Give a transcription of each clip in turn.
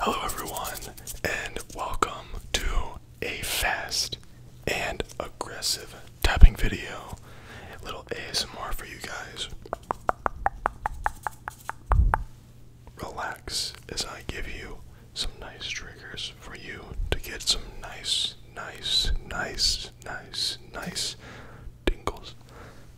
Hello, everyone, and welcome to a fast and aggressive tapping video. little ASMR for you guys. Relax as I give you some nice triggers for you to get some nice, nice, nice, nice, nice tingles.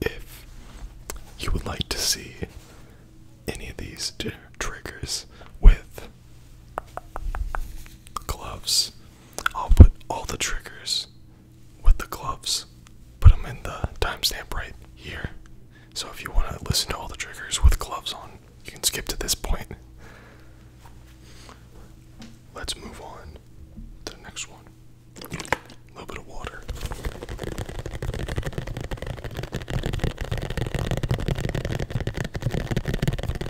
If you would like to see any of these triggers with gloves. I'll put all the triggers with the gloves. Put them in the timestamp right here. So if you want to listen to all the triggers with gloves on, you can skip to this point. Let's move on to the next one. A little bit of water.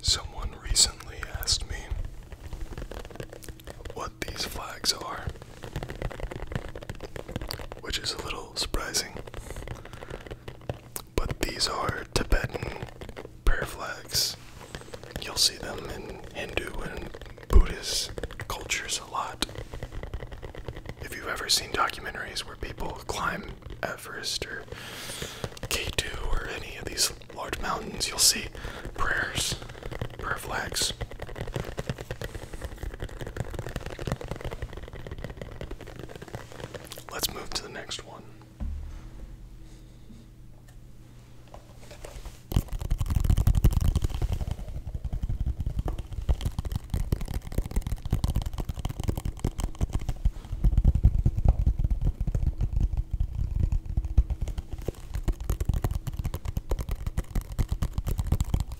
Someone recently asked me what these flags are, which is a little surprising. But these are Tibetan prayer flags. You'll see them in Hindu and Buddhist cultures a lot. If you've ever seen documentaries where people climb Everest or K2 or any of these large mountains, you'll see prayers, prayer flags. Let's move to the next one.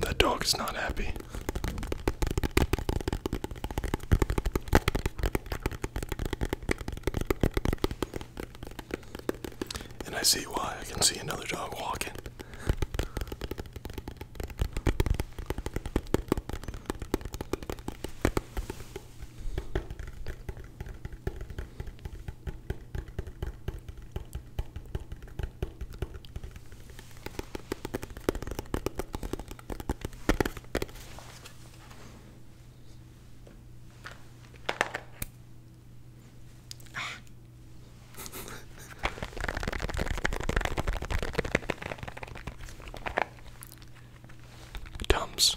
That dog is not happy. And I see why. I can see another dog walking. Ah. Tums.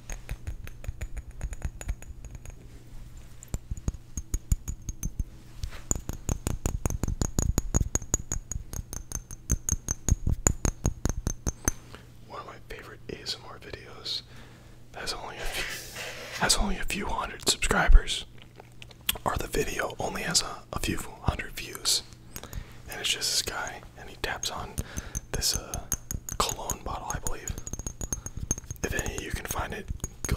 One of my favorite ASMR videos has only a few, has only a few hundred subscribers, or the video only has a, a few hundred views, and it's just this guy, and he taps on this uh cologne bottle, I believe. If any you can find it, good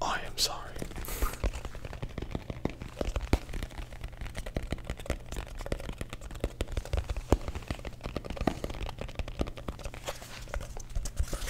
I am sorry.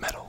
Metal.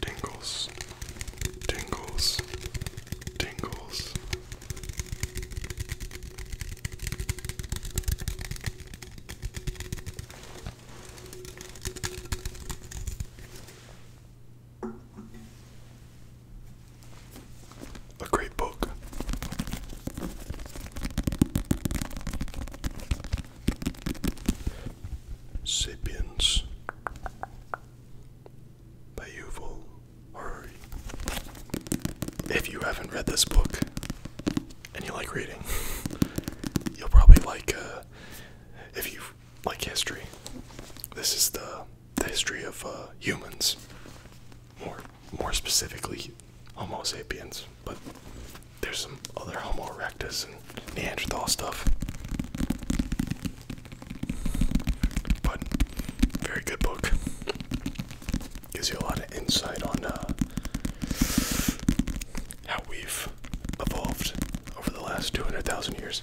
Tingles, tingles, tingles. A great book. Sapiens by Yuval Harari. If you haven't read this book and you like reading, you'll probably like uh, if you like history. This is the the history of uh, humans, more more specifically, Homo sapiens but there's some other Homo erectus and Neanderthal stuff. But very good book. Gives you a lot of insight on uh, how we've evolved over the last 200,000 years.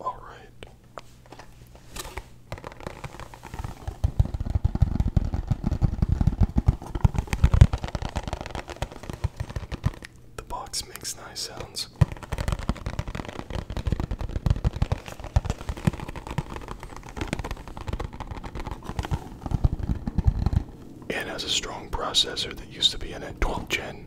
All right. The box makes nice sounds and has a strong processor that used to be in a 12 gen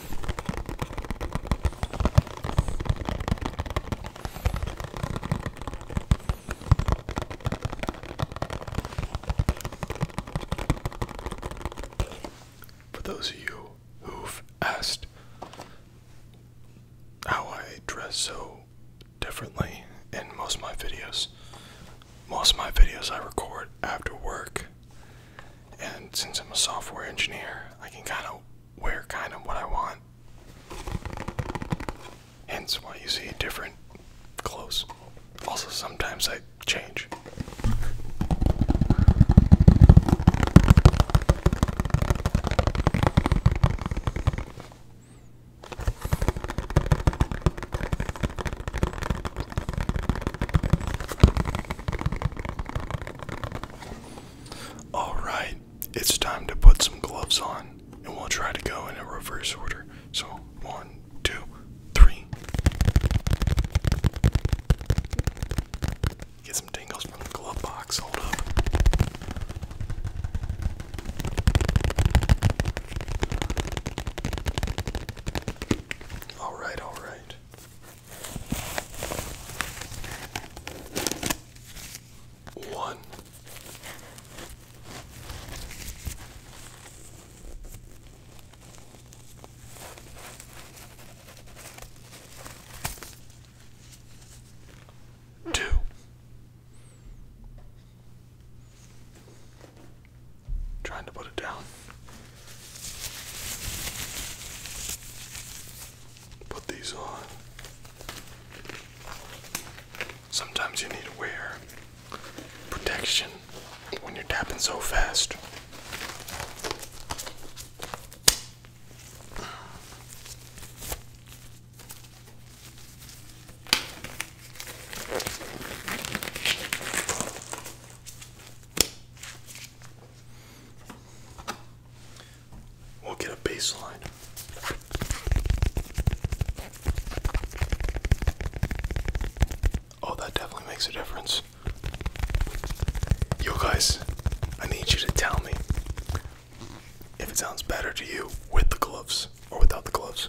For those of you who've asked how I dress so differently in most of my videos, most of my videos I record after work. And since I'm a software engineer, I can kind of wear kind of what I want. Hence why you see different clothes. Also, sometimes I change. Alright, it's time to put some gloves on, and we'll try to go in a reverse order. So, one, two, three. Get some tingles from the glove box. Hold up. Alright, alright. One. Two. Trying to put it down put these on. Sometimes you need to wear protection when you're tapping so fast. We'll get a baseline. Oh, that definitely makes a difference. Yo, guys, I need you to tell me if it sounds better to you with the gloves or without the gloves.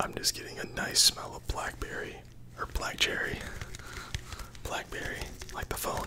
I'm just getting a nice smell of blackberry or black cherry. Blackberry, like the phone.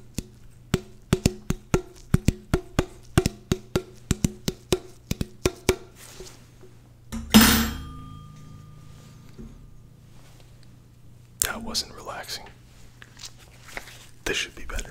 That wasn't relaxing. This should be better.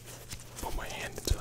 Put my hand inside.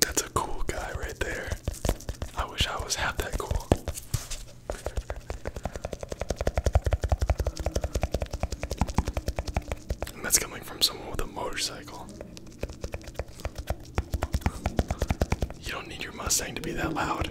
That's a cool guy right there. I wish I was half that cool. that's coming from someone with a motorcycle. You don't need your Mustang to be that loud.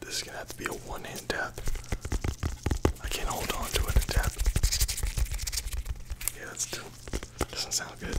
This is gonna have to be a one hand tap. I can't hold on to it and tap. Yeah, that's too. Doesn't sound good.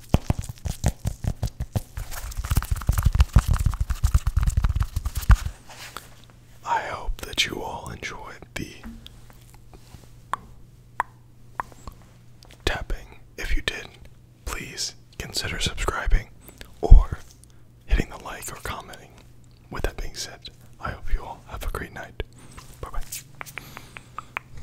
I hope that you all enjoyed the tapping. If you did, please consider subscribing or hitting the like or commenting. With that being said, I hope you all have a great night. Bye bye.